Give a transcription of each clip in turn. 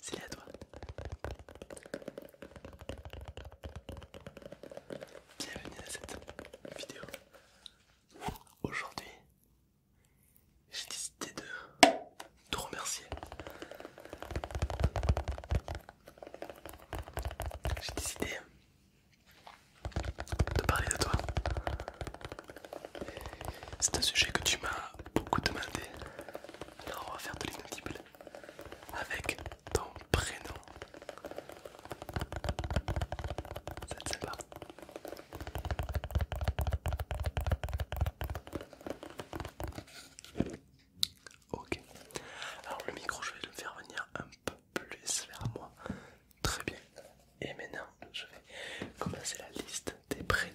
C'est à toi. Bienvenue dans cette vidéo. Aujourd'hui, j'ai décidé de te remercier. J'ai décidé de parler de toi. C'est un sujet que tu m'as beaucoup demandé. Alors on va faire de l'inaudible avec ton prénom. C'est pas Ok. Alors le micro, je vais le faire venir un peu plus vers moi. Très bien. Et maintenant, je vais commencer la liste des prénoms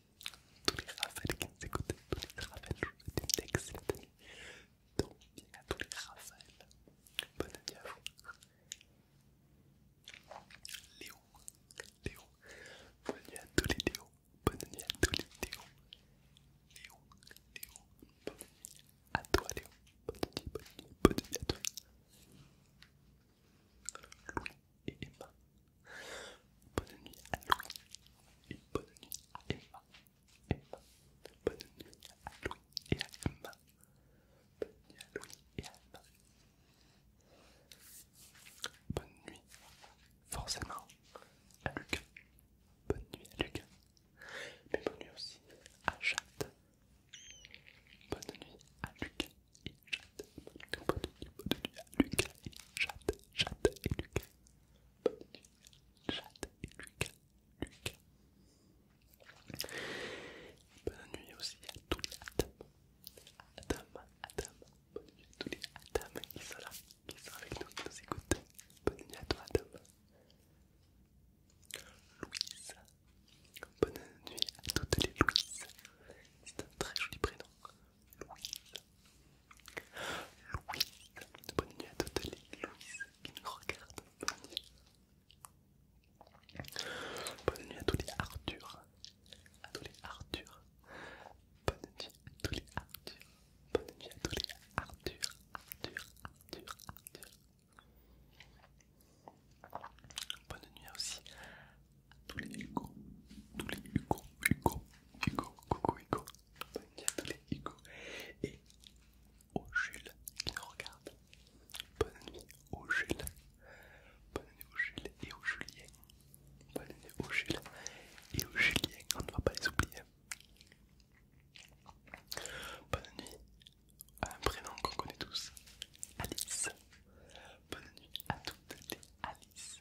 tous les Raphaël qui nous écoutent, tous les Raphaël, je vous souhaite une excellente nuit. Donc, à tous les Raphaël, bonne nuit à vous. Léo, Léo, bonne nuit à tous les Léo, bonne nuit à tous les Léo. Léo, Léo, bonne année. à toi Léo, bonne nuit, bonne nuit, bonne nuit à toi et Emma. Bonne nuit à Louis et bonne nuit à Emma. Emma. Bonne nuit à Louis et à Emma. Bonne nuit à Louis et à Emma. Bonne nuit, forcément, à Lucas. Bonne nuit à Lucas. Mais bonne nuit aussi à Jade. Bonne nuit à Lucas et Jade. Bonne nuit, bonne nuit à Lucas et Jade. Jade et Lucas. Jade et Luc. Lucas. Bonne nuit aussi à tous les Adam. Adam, Adam. Bonne nuit à tous les Adam qui sont là, qui sont avec nous, qui nous écoutent. Bonne nuit à toi Adam. Louise. Bonne nuit à toutes les Louise. C'est un très joli prénom. Louise, Louise, Bonne nuit à toutes les Louise qui nous regardent. Bonne nuit. Bonne nuit à tous les Arthur. À tous les Arthur. Bonne nuit à tous les Arthur. Bonne nuit à tous les Arthur. Arthur, Arthur, Arthur. Bonne nuit aussi tous les Hugo, tous les Hugo, Hugo, Hugo, coucou Hugo, bonne nuit à tous les Hugo et au Jules qui nous regarde. Bonne nuit au Jules, bonne nuit au Jules et au Julien, bonne nuit au Jules et au Julien, on ne va pas les oublier. Bonne nuit à un prénom qu'on connaît tous, Alice. Bonne nuit à toutes les Alice.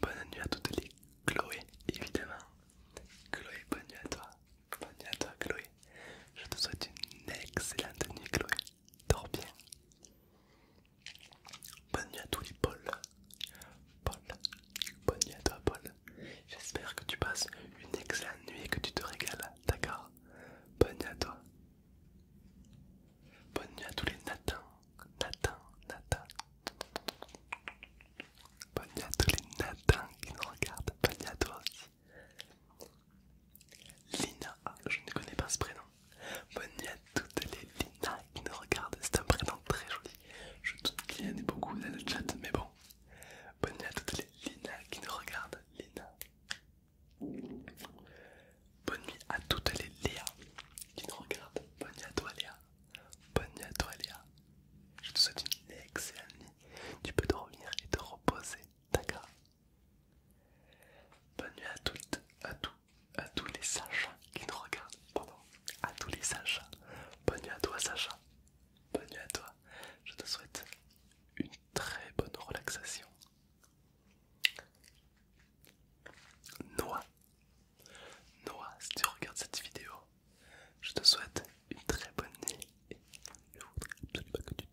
Bonne nuit à toutes les Chloé, évidemment. Chloé, bonne nuit à toi. Bonne nuit à toi, Chloé. Je te souhaite une excellente nuit, Chloé. Dors bien. Bonne nuit à tous les Paul. Paul, bonne nuit à toi, Paul. J'espère que tu passes une excellente nuit et que tu te régales, d'accord Bonne nuit à toi. Bonne nuit à tous les Nathan, Nathan, Nathan Bonne nuit à tous les Nathan qui nous regardent. Bonne nuit à toi aussi. Lina, ah, je ne connais pas ce prénom. Bonne nuit à toutes les Lina qui nous regardent. C'est un prénom très joli. Je doute qu'il y en beaucoup dans le chat, mais bon. Bonne nuit à toutes les Lina qui nous regardent. Lina. Bonne nuit à toutes les Léa qui nous regardent. Bonne nuit à toi Léa. Bonne nuit à toi Léa. Je te souhaite une excellente nuit. Tu peux revenir et te reposer. D'accord Bonne nuit à toutes, à tous, à tous les Sacha qui nous regardent. Pardon. À tous les sages Bonne nuit à toi Sacha. Bonne nuit à toi. Je te souhaite une très bonne relaxation. Noix. Noah, si tu regardes cette vidéo, je te souhaite une très bonne nuit et je voudrais absolument que tu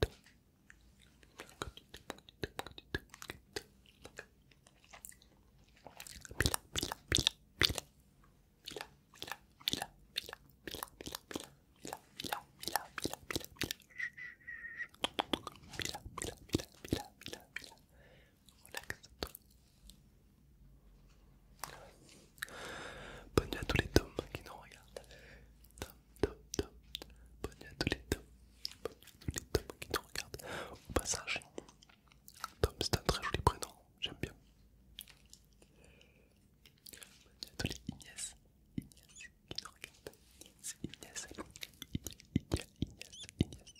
Relaxe-toi. Bonne nuit à tous les tomes qui nous regardent. Tom, tom, tom. Bonne nuit à tous les tomes. Bonne nuit à tous les tomes qui nous regardent. Au passage, Tom, c'est un très joli prénom. J'aime bien. Bonne nuit à tous les Ignace. Ignace qui nous regarde. Ignace. Ignace, Ignace, Ignace.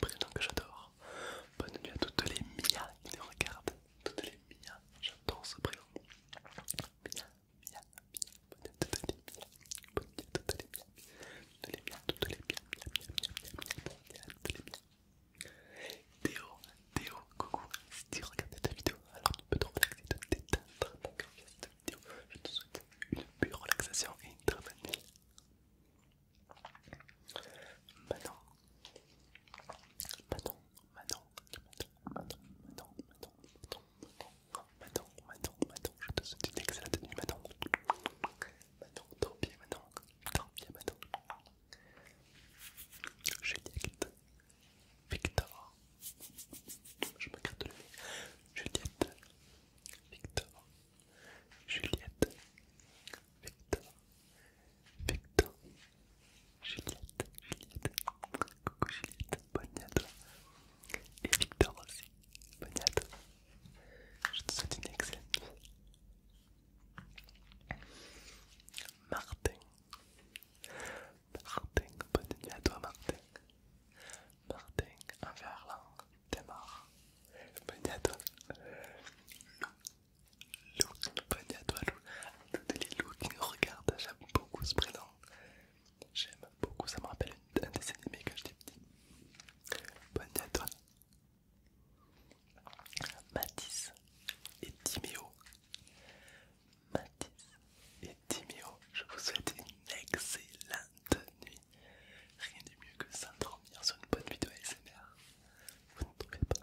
Prénom que j'adore. Bonne nuit à toutes les Mia qui regardent. Toutes les Mia, j'adore ce prénom. Mia, Mia, Mia, bonne nuit à toutes les Mia. Bonne nuit à toutes les Mia. Toutes les Mia, toutes les Mia, Théo, Théo, coucou. Si tu regardes cette vidéo, alors te cette vidéo. Je te souhaite une pure relaxation et une très bonne nuit. Maintenant, maintenant, maintenant, maintenant, maintenant, maintenant, maintenant, maintenant, maintenant, je te souhaite une excellente nuit, maintenant, maintenant, maintenant, Victor, je me le nez, Victor. Juliette, Victor, Victor, Juliette, Juliette, coucou Juliette, bonne à toi. Et Victor aussi, bonne à toi. Je te souhaite une excellente nuit. Martin, Martin, bonne nuit à toi Martin. Martin, un verlan démarre. Bonne à toi. Lou, bonne à toi Lou. Toutes les loups qui nous regardent, j'aime beaucoup ce prénom. J'aime beaucoup, ça me rappelle un dessin animé quand j'étais petit. Bonne à toi. Mathis et Timéo. Mathis et Timéo, je vous souhaite une excellente nuit. Rien de mieux que bien sur une bonne vidéo ASMR. Vous ne trouvez pas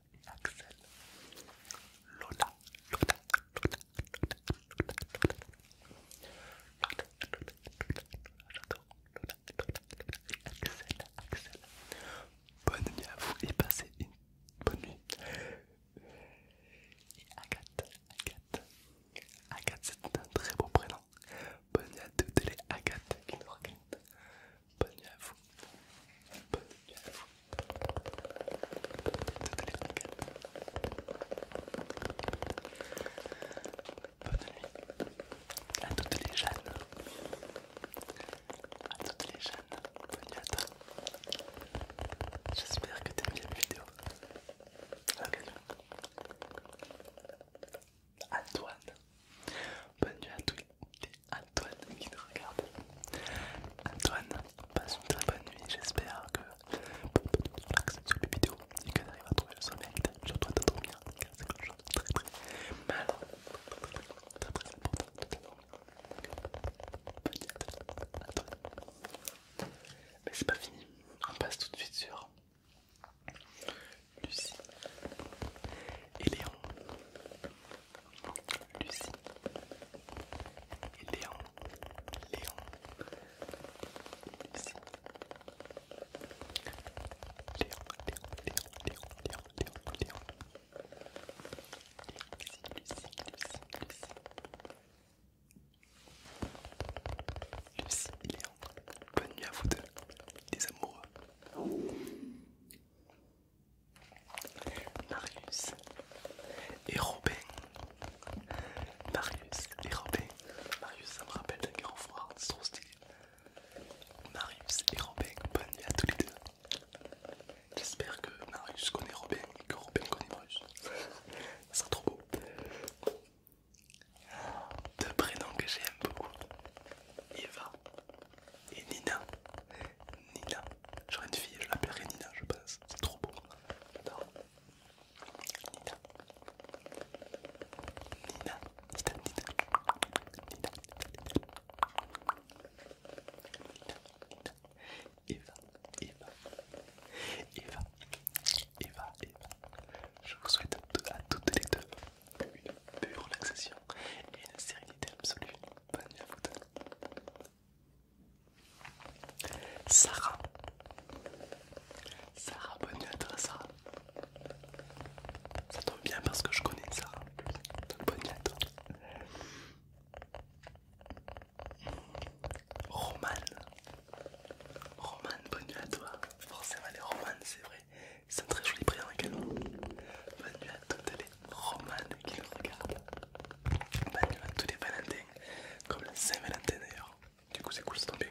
Axel, Lola, Lola, Lola, Lola, Lola, Lola, Lola, Lola, Axel, Axel. Bonne nuit à vous et passez une bonne nuit. Agathe, Agathe, Agathe, c'est un très beau prénom. Bonne nuit à toutes les Agathe qui nous Bonne nuit à vous. Bonne nuit à vous. Bonne nuit à toutes les jeunes, à toutes les jeunes, bonne nuit à toi. J'espère que t'aimes bien la vidéo. Antoine, bonne nuit à tous les Antoine qui nous regarde. Antoine, passe une très bonne nuit. J'espère que relaxer sur les vidéos et que tu arrives à trouver le sommeil que tu as besoin de dormir car c'est quelque chose de très très mal, très très important de t'endormir. Mais c'est pas fini, on passe tout de suite sur Lucie et Léon. Lucie, Léon, Léon, Lucie, Léon, Léon, Léon, Léon, Léon, Lucie, Lucie, Lucie, Lucie, Léon, bonne nuit à vous deux, les amoureux. Marius et Robin. Marius et Robin. Marius, ça me rappelle d'un grand froid, c'est trop stylé. Marius et Robin, bonne nuit à tous les deux. J'espère que Marius connaît Robin et que Robin connaît Marius. ça sera trop beau. Deux prénoms que j'aime beaucoup Eva et Nina. Nina. J'aurais une fille, je l'appellerai Nina, je pense. C'est trop beau. J'adore. Nina. Nina. Nina, Nina. Nina. Nina. Nina, Eva, Eva, Eva, Eva, Eva. Je vous souhaite à toutes les deux une pure relaxation et une sérénité absolue. Bonne nuit à vous deux. Sarah. Sarah, bonne nuit à toi, Sarah. Ça tombe bien parce que je connais Sarah. bonne nuit à toi. Roman. Roman, bonne nuit à toi. Forcément, les Roman, c'est vrai. C'est un très joli prénom également. Bonne nuit à toi les Romane qui nous regarde. Ben, il y a tous les Valentins, comme la Saint-Valentin d'ailleurs. Du coup, c'est cool, c'est tombe bien.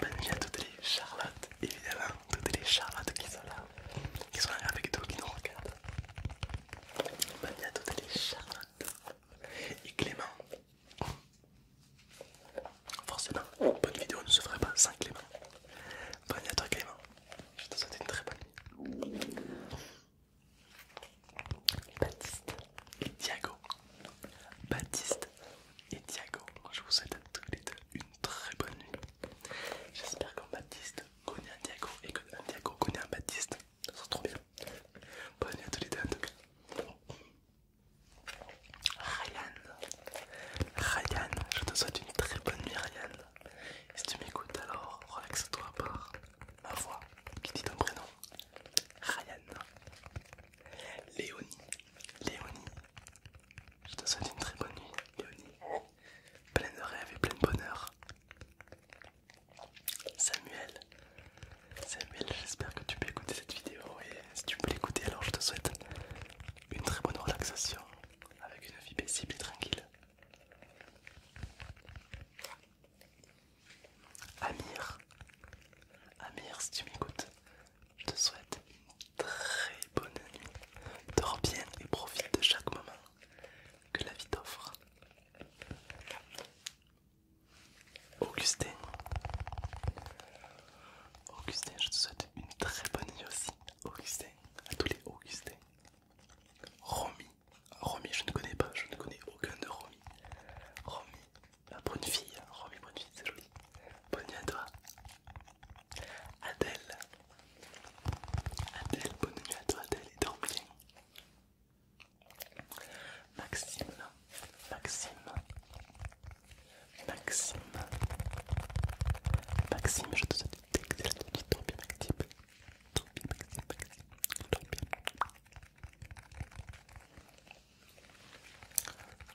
Bonne nuit à toutes les Charlottes, évidemment, toutes les Charlottes qui sont là, qui sont là avec tout qui nous regardent. Bonne nuit à toutes les Charlottes et Clément. Forcément, bonne vidéo ne se ferait pas sans Clément. Bonne nuit à toi, Clément. Je te souhaite une très bonne nuit. Baptiste et Diago. Baptiste et Diago. Je vous souhaite à tous les deux une très bonne nuit. J'espère qu'un Baptiste connaît un Diago et qu'un Diago connaît un Baptiste. Ça se trop bien. Bonne nuit à tous les deux en tout cas. Ryan. Ryan, je te souhaite une très bonne nuit Ryan. Si tu m'écoutes, alors relaxe-toi par ma voix qui dit ton prénom Ryan, Léonie, Léonie. Je te souhaite une très bonne nuit, Léonie. Pleine de rêves et plein de bonheur. Samuel, Samuel, j'espère que tu peux écouter cette vidéo et si tu peux l'écouter, alors je te souhaite une très bonne relaxation avec une vie paisible et tranquille. Amir, Amir, si tu m'écoutes, je te souhaite une très bonne nuit. Dors bien et profite de chaque moment que la vie t'offre. Augustin, Augustin, je te souhaite une très bonne nuit aussi. Augustin, à tous les Augustins. Romy. Romy, je ne connais pas, je ne connais aucun de Romy. Romy, la bonne fille, hein. Romy, bonne fille, c'est joli. Bonne nuit à toi. Adèle. Adèle, bonne nuit à toi, Adèle, et dors bien. Maxime, Maxime, Maxime, Maxime, je te souhaite Excellent, tu bien,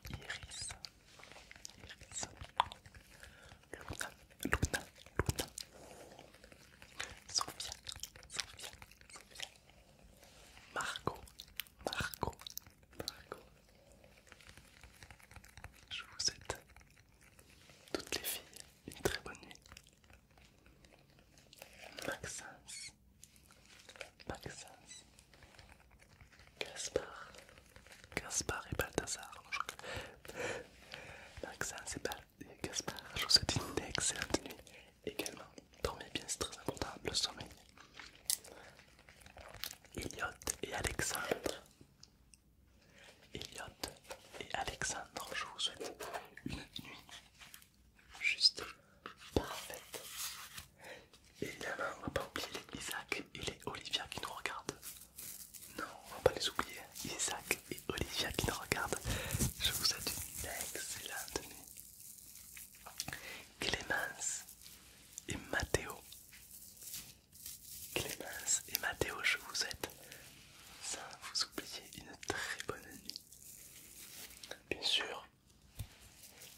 Iris. Iris. Luna, Luna, Luna. Sophia, Sophia, Sophia. Margot, Margot, Margot. Je vous souhaite toutes les filles une très bonne nuit. Maxence, Maxence, Gaspard, Gaspard et Balthazar. Maxence et, Balthasar je vous souhaite une excellente nuit également. Dormez bien, c'est très important, le sommeil. Elliot et Alexandre, Elliot et Alexandre, je vous souhaite une nuit juste parfaite. Et évidemment, on va pas oublier les Isaac et les Olivia qui nous regardent. Non, on va pas les oublier. Isaac et Olivia qui nous regardent. Je vous souhaite une excellente nuit. Clémence et Mathéo Clémence et Mathéo, je vous souhaite sans vous oublier une très bonne nuit. Bien sûr,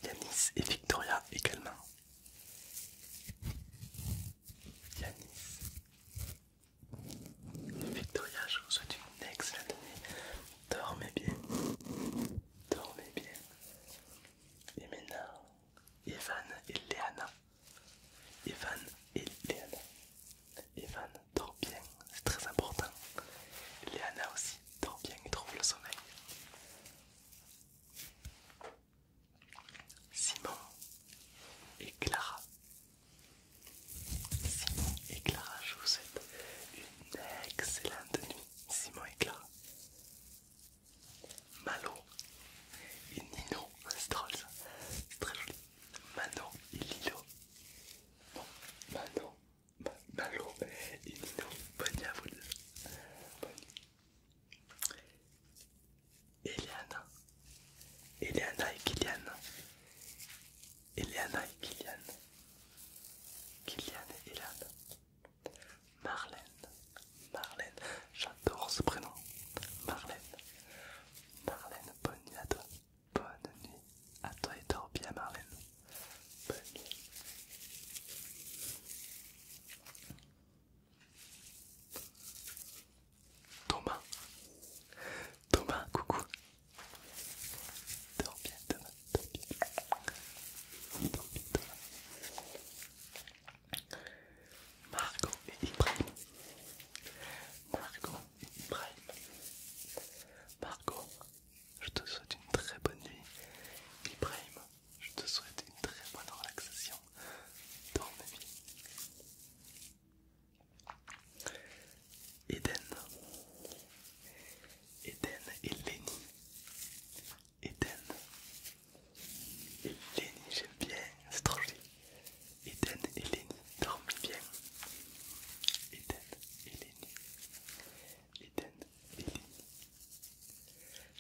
Yanis et Victoria également. Yanis Victoria, je vous souhaite une excellente nuit. Dormez bien, dormez bien. Et maintenant, Evan et Léana Evan et Léana. Evan dort bien, c'est très important. Léana aussi dort bien et trouve le sommeil. Simon et Clara. Simon et Clara, je vous souhaite une excellente nuit. Simon et Clara. Malo et Nino ça, C'est très joli. Mano et Lilo. Bon, Mano, Malo et Nino. Bonne nuit à vous deux. Bonne Eliana. Eliana et Kylian. Eliana et Kylian. Kylian et Eliana. Marlène. Marlène, j'adore ce prénom. Marlène, Marlène, bonne nuit à toi. Bonne nuit à toi et dors bien, Marlène. Bonne nuit. Thomas, Thomas, coucou. Dors bien, Thomas, dors Dors bien, Thomas. Margot et Ibrahim. Margot et Ibrahim. Margot, je te souhaite une très bonne nuit. Ibrahim, je te souhaite une très bonne relaxation. nuit. Eden. Eden et Lenny. Eden et j'aime bien, c'est trop joli. Eden et Lenny dorment bien. Eden et Lenny. Eden et Lenny.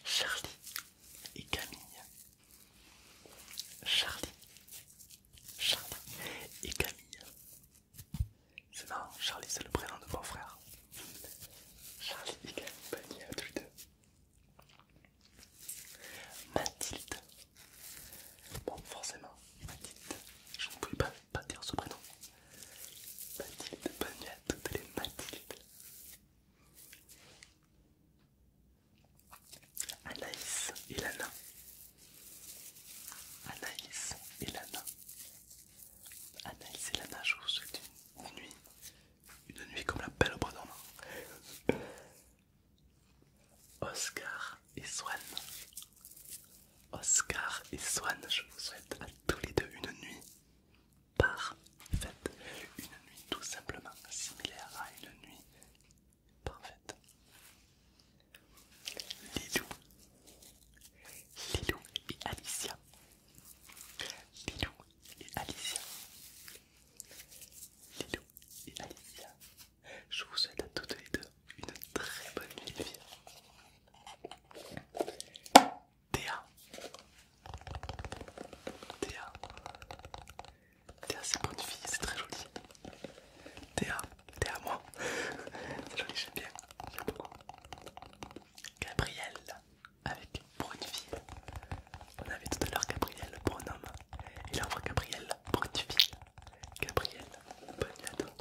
Charlie et Camille. Charlie. Charlie et Camille. C'est marrant, Charlie c'est le prénom de mon frère. Charlie et Camille, pas à tous les deux. Mathilde. Bon, forcément, Mathilde. Je ne pouvais pas, dire ce prénom. Mathilde, bonne nuit à toutes les Mathilde. Anaïs et Lana. Anaïs et Lana. Anaïs et Lana, je vous souhaite une nuit. Une nuit comme la belle au prénom. Oscar et Swan. Oscar et Swan, je vous souhaite à tous les deux une nuit parfaite. Une nuit tout simplement similaire à une nuit parfaite. Lilou. Lilou et Alicia. Lilou et Alicia. Lilo et Alicia, je vous souhaite à toutes les deux une très bonne nuit vie. Théa, Théa, Théa c'est une bonne fille, c'est très joli. Théa, Théa moi, joli, j'aime bien, Gabrielle, beaucoup. avec pour On avait tout à l'heure Gabriel pour et là Gabriel pour une fille. Gabriel, bonne nuit à toi.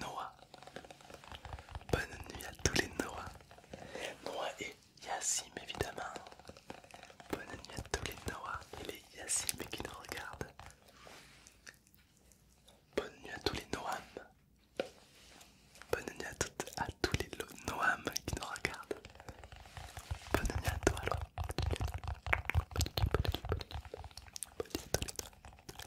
Noah, bonne nuit à tous les Noah. Noah et Yassim évidemment. Bonne nuit à tous les Noah et les Yassim qui nous regardent. Bonne nuit à tous les Noam. Bonne année à toutes, à tous les Noam qui nous regardent. Bonne année à toi, alors. Diego, Diego, Diego, Diego, Diego, Diego, Diego, Diego, Diego.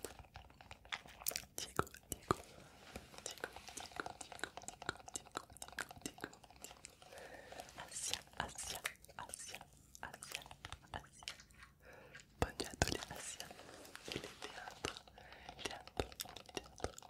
Bonne à tous les Et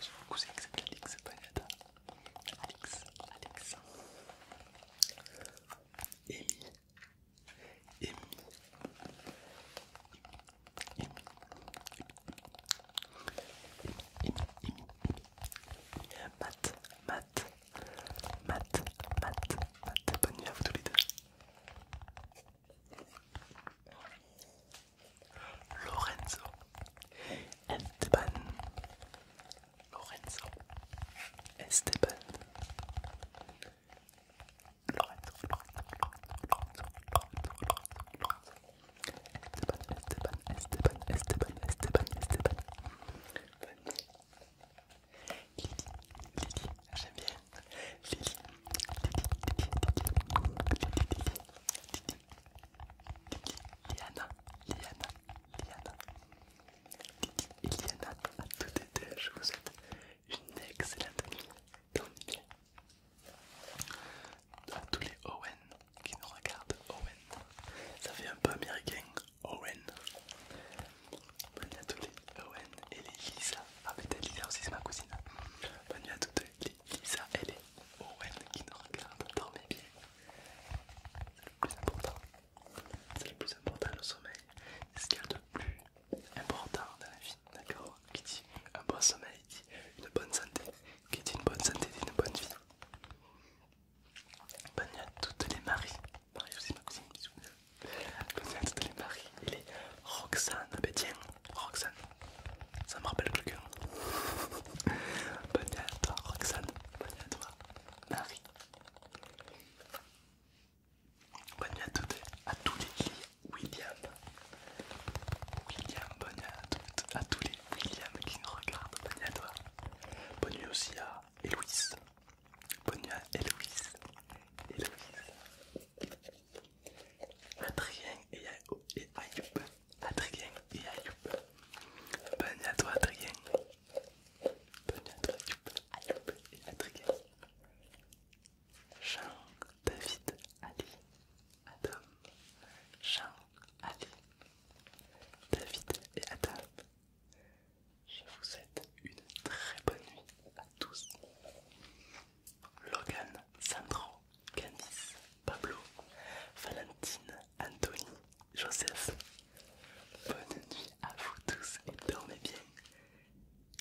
J'ai un cousin que c'est Alix Pagata. Alex Alex Amy. Amy. Amy. Amy. Amy. Matt, Matt, Matt, Matt, Matt, bonne nuit à tous les deux. Lorenzo Esteban Lorenzo Esteban Lorenzo Lorenzo Lorenzo Lorenzo Lorenzo Esteban Esteban Esteban Esteban Esteban Esteban Lydie Lydie j'aime bien Lily. Liana, Liana, Liana. Et Liana à tout été, je vous souhaite une excellente nuit. Dormez À tous les Owen qui nous regardent, Owen. Ça fait un peu américain, Owen. bonjour à tous les Owen et les Lisa. Ah, peut-être Lisa aussi, c'est ma cousine. Bonne nuit à toutes les Lisa et les Owen qui nous regardent. Dormez bien. C'est le plus important. C'est le plus important, le sommeil. C'est ce qu'il y a de plus important dans la vie. D'accord Qui dit un bon sommeil dit une bonne santé. Qui dit une bonne santé dit une bonne vie. Bonne nuit à toutes les Marie, Marie aussi, cousine bisous. Bonne nuit à toutes les Marie Il est Roxane. Ah ben tiens, Roxane. Ça me rappelle quelqu'un. Bonne nuit à toi, Roxane. Bonne nuit à toi, Marie. Bonne nuit à toutes, à tous les Williams. William. William, bonne nuit à à tous les William qui nous regardent. Bonne nuit à toi. Bonne nuit aussi à Héloïse. Bonne nuit à Héloïse. Héloïse. Adrien et Ayoub. Adrien et Ayoub. Bonne à toi Adrien. Bonne à toi Ayoub. Ayoub et Adrien. Jean, David, Ali, Adam. Jean, Ali, David et Adam. Je vous souhaite une très bonne nuit à tous. Logan, Sandro, Candice, Pablo, Valentine, Anthony, Joseph. Bonne nuit à vous tous et dormez bien.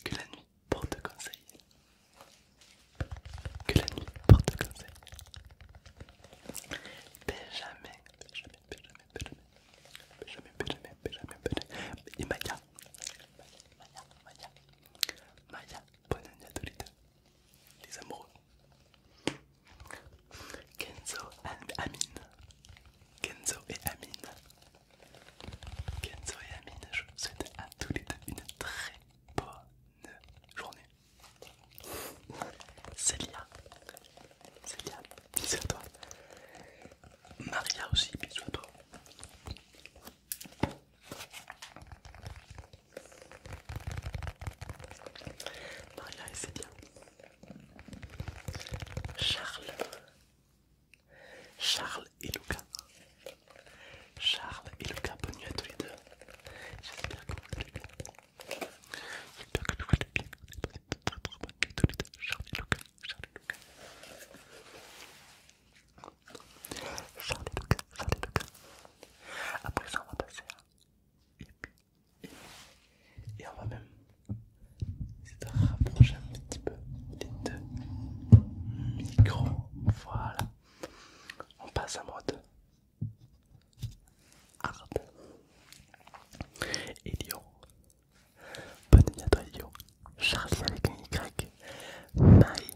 Que la nuit porte conseil. Que la nuit porte conseil. Benjamin, jamais, Benjamin, jamais, Benjamin, jamais, Benjamin, jamais, Et jamais, Maya, jamais. Maya. Maya, bonne année à tous les deux, les amoureux. Kenzo and Amine. Kenzo et Amine. Kenzo et Amine, je vous souhaite à tous les deux une très bonne journée. Célia. Célia, bisous à toi. Maria aussi, bisous à toi. Voilà, et c'est bien. Charles. Charles et Lucas. Charles et Lucas, bonne nuit à tous les deux. J'espère que vous allez bien. J'espère que vous allez bien. Bonne nuit à tous les deux. Charles et Lucas. Charles et Lucas. Charlie Lucas, Charlie Lucas. après ça on va passer à Et on va même essayer de rapprocher un petit peu les deux micros. Voilà. On passe en mode hard. Elio. Bonne nuit à toi, Elio. Charlie avec un Y. Maï.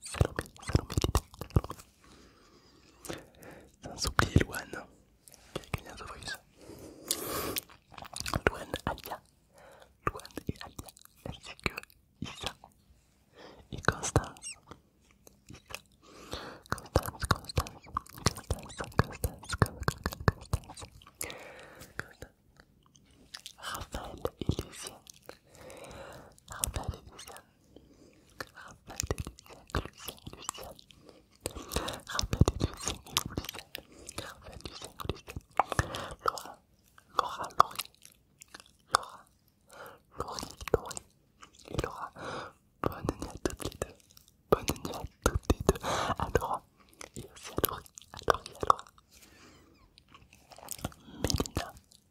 Salomé, Salomé, Sans oublier Luan, qui a gagné un Sofris. Luan, Alia, Luan et Alia, ainsi que Isa et Constance. Isa. Constance, Constance, Constance, Constance, Constance, Constance. Raphaël et Raphaël et Lucien. Raphaël et Lucien, Lucien, Lucien. Raphaël Lucien, Lucien et Lucien. Raphaël, Lucien Lucien. Laura, Laura, Laurie. Laura, Laurie, Laurie. Et Laura, bonne nuit à toutes les deux. Bonne nuit à toutes les deux. À Laura et aussi à Laurie. À Laurie, à Laura. Mélina,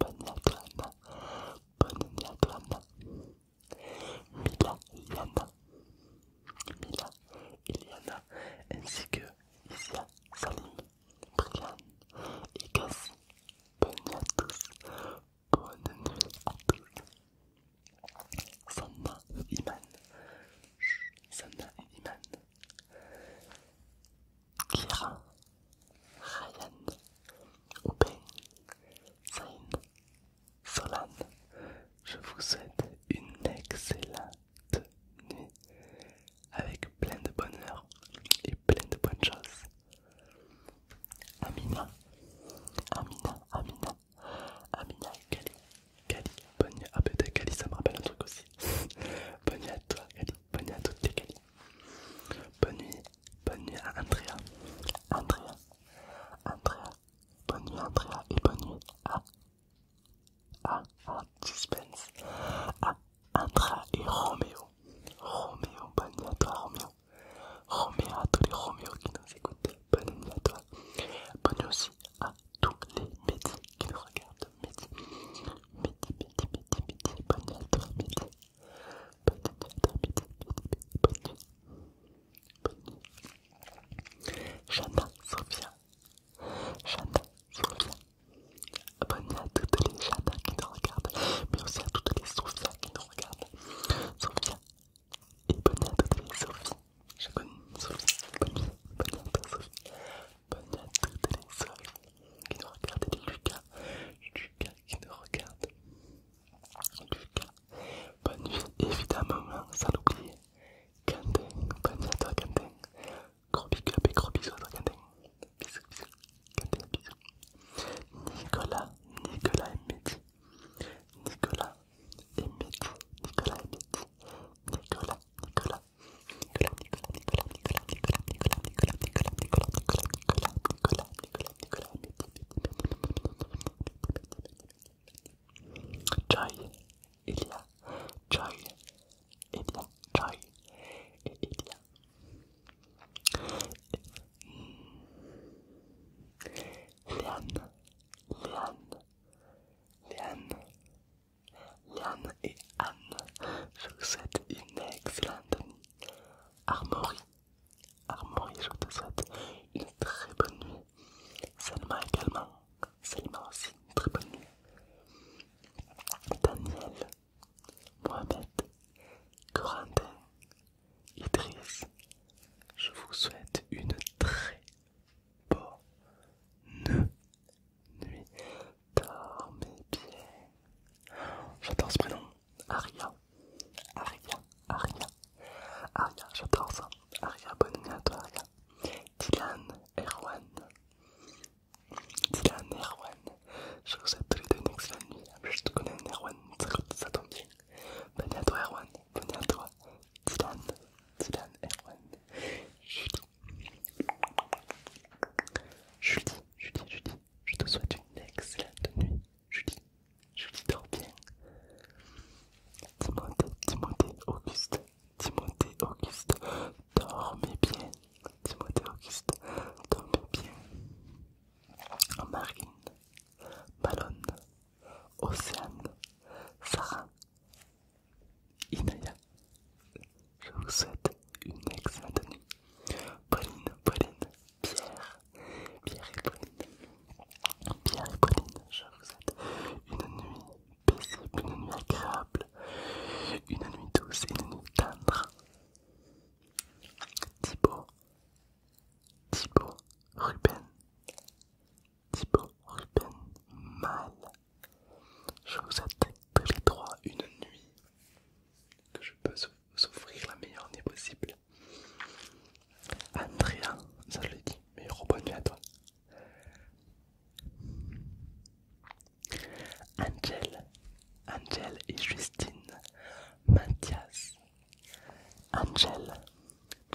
bonne à à Mila Mila et ainsi que Isia, Salim, Brian et Cassie. Bonne nuit à tous. Bonne à tous. Sanna et Iman. Sanna Kira, Ryan, Open, Zain, Solan. Je vous souhaite une excellente nuit avec plein de bonheur et plein de bonnes choses. Amina, Amina, Amina, Amina, et Kali, Kali, bonne nuit. Ah, peut-être Kali, ça me rappelle un truc aussi. bonne nuit à toi, Kali, bonne nuit à toutes les Kali. Bonne nuit, bonne nuit à Andrea. Andrea, Andrea, bonne nuit Andrea et bonne nuit à, à, à Suspense, à Andrea et Roméo. Roméo, bonne nuit à toi Roméo. Roméo, à tous les Roméo qui nous écoutent, bonne nuit à toi. Bonne nuit aussi à tous les métiers qui nous regardent. bonne nuit à toi Bonne nuit J'attends Sophia. Chanda, Sophia. Bonne nuit à toutes les J'attends qui nous regardent, mais aussi à toutes les Sophia qui nous regardent. Sophia. Et bonne nuit à toutes les Sophie. Je Sophie. Bonne nuit. Bonne nuit à Bonne nuit à toutes les Sophia qui nous regardent. Et Lucas. Lucas, qui nous regarde. En tout cas, bonne nuit, évidemment, sans l'oublier. bonne nuit à toi, Gros gros bisous à Nicolas, Nicolas et Nicolas Nicolas Joy, Elia, Joy, Elia, Joy, Elia. Leanne, Leanne, Leanne, Leanne et Anne, je vous souhaite une excellente nuit. Armory. Armory, je te souhaite une très bonne nuit. Selma également. Selma aussi, une très bonne nuit. Daniel, Mohamed, Corentin, Idriss, je vous souhaite une très bonne nuit. Dormez bien. J'adore ce prénom. Aria, Aria, Aria, Aria, j'adore ça. Aria, bonne nuit à toi, Aria. Dylan, Erwan, Dylan, Erwan, je vous souhaite tous les deux une excellente nuit. Je te connais, Erwan, ça, tombe bien. Bonne nuit à toi, Erwan, bonne nuit à toi, Dylan, Dylan, Erwan, Julie, Julie, Julie, Julie, je te souhaite une excellente nuit. Julie, Julie, dors bien. Timothée, Timothée, Auguste, Timothée, Auguste, dormez bien. Timothée, Auguste, dormez bien. Marine, Malone, Océane, Sarah, Inaya, je vous souhaite une excellente nuit. Pauline, Pauline, Pierre, Pierre et Pauline. Pierre et Pauline, je vous souhaite une nuit paisible, une nuit agréable, une nuit douce une nuit tendre. Thibaut, Thibaut, Ruben, Thibaut, Ruben, Mal. Je vous souhaite tous les trois une nuit que je peux souhaiter vous la meilleure nuit possible. Andrea, ça je l'ai dit, mais nuit à toi. Angel, Angel et Justine, Mathias, Angel,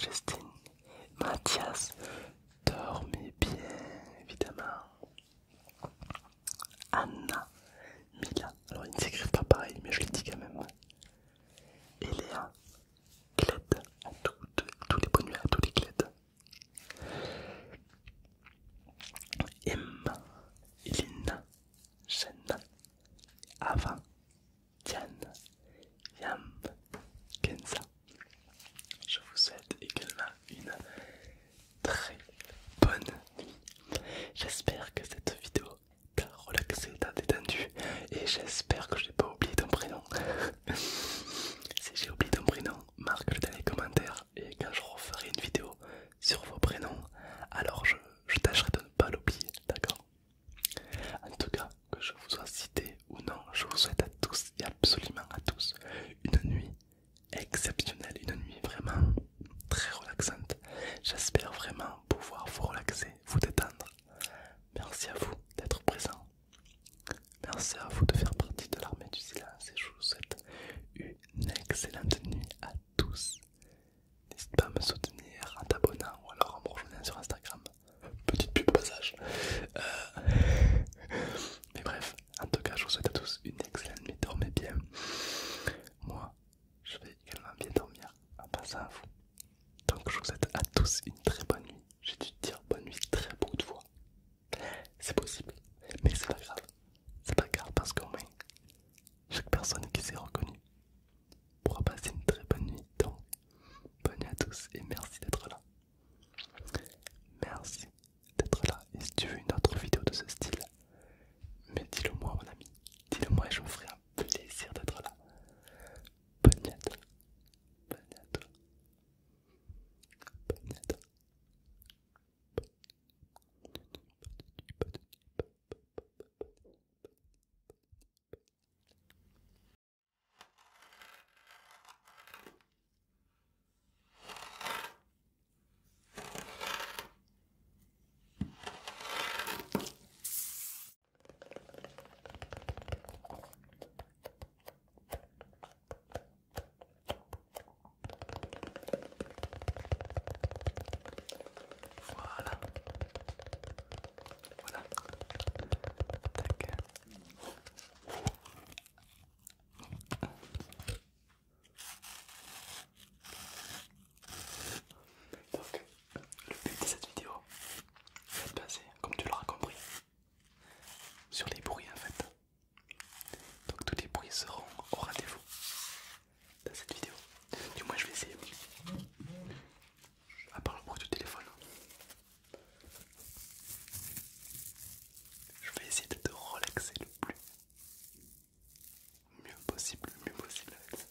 Justine, Mathias, dormez bien évidemment. Anna Mila. Alors ils ne s'écrivent pas pareil, mais je les dis quand même. Elean Léa À toutes, tous les bonnes nuits à tous les Clèdes. M, Elina, Jenna, Ava, Tian, Yam, Kenza. Je vous souhaite également une très bonne nuit. J'espère que cette vidéo t'a relaxé, t'a détendu et j'espère que je n'ai pas oublié ton prénom. si j'ai oublié ton prénom, marque-le dans les commentaires et quand je referai une vidéo sur vos prénoms, alors je, tâcherai de ne pas l'oublier, d'accord En tout cas, que je vous sois cité ou non, je vous souhaite à tous et absolument à tous une nuit exceptionnelle, une nuit vraiment très relaxante. J'espère vraiment pouvoir vous relaxer, vous détendre. Merci à vous d'être présent. Merci à vous de faire partie de l'armée du silence et je vous souhaite une excellente nuit à tous. N'hésite pas à me soutenir en t'abonnant ou alors en me rejoignant sur Instagram. Petite pub passage. Euh, mais bref, en tout cas, je vous souhaite à tous une excellente nuit. Dormez bien. Moi, je vais également bien dormir en ah, pensant bah, à vous. Donc je vous souhaite à tous une très bonne nuit. J'ai dû dire bonne nuit très beaucoup de fois. C'est possible, mais c'est pas grave. C'est pas grave parce qu'au moins, chaque personne qui s'est reconnue pourra passer une très bonne nuit. Donc, bonne nuit à tous et merci d'être là. Merci d'être là. Et si tu veux une autre vidéo de ce style, mais dis-le moi mon ami, dis-le moi et je vous ferai un plaisir d'être là. Bonne nuit à Bonne voilà. Voilà. Tac. Donc, le but de cette vidéo, c'est de passer, comme tu l'auras compris, sur les bruits en fait. Donc, tous les bruits seront au rendez-vous dans cette vidéo. Du moins, je vais essayer. À part le bruit du téléphone, je vais essayer de te relaxer le plus mieux possible, mieux possible avec ça.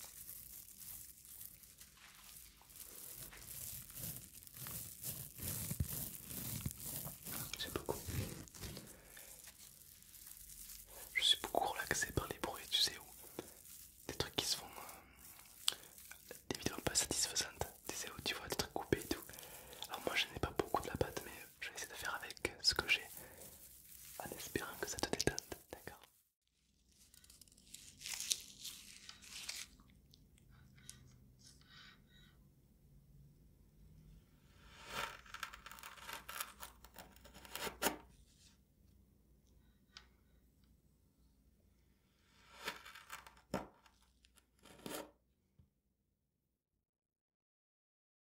J'aime beaucoup. Je suis beaucoup relaxé par les bruits, tu sais, où des trucs qui se font euh, des vidéos pas satisfaisantes, tu sais, où tu vois des trucs coupés et tout. Alors, moi je n'ai pas beaucoup de la pâte, mais je vais essayer de faire avec ce que j'ai en espérant que ça te détende, d'accord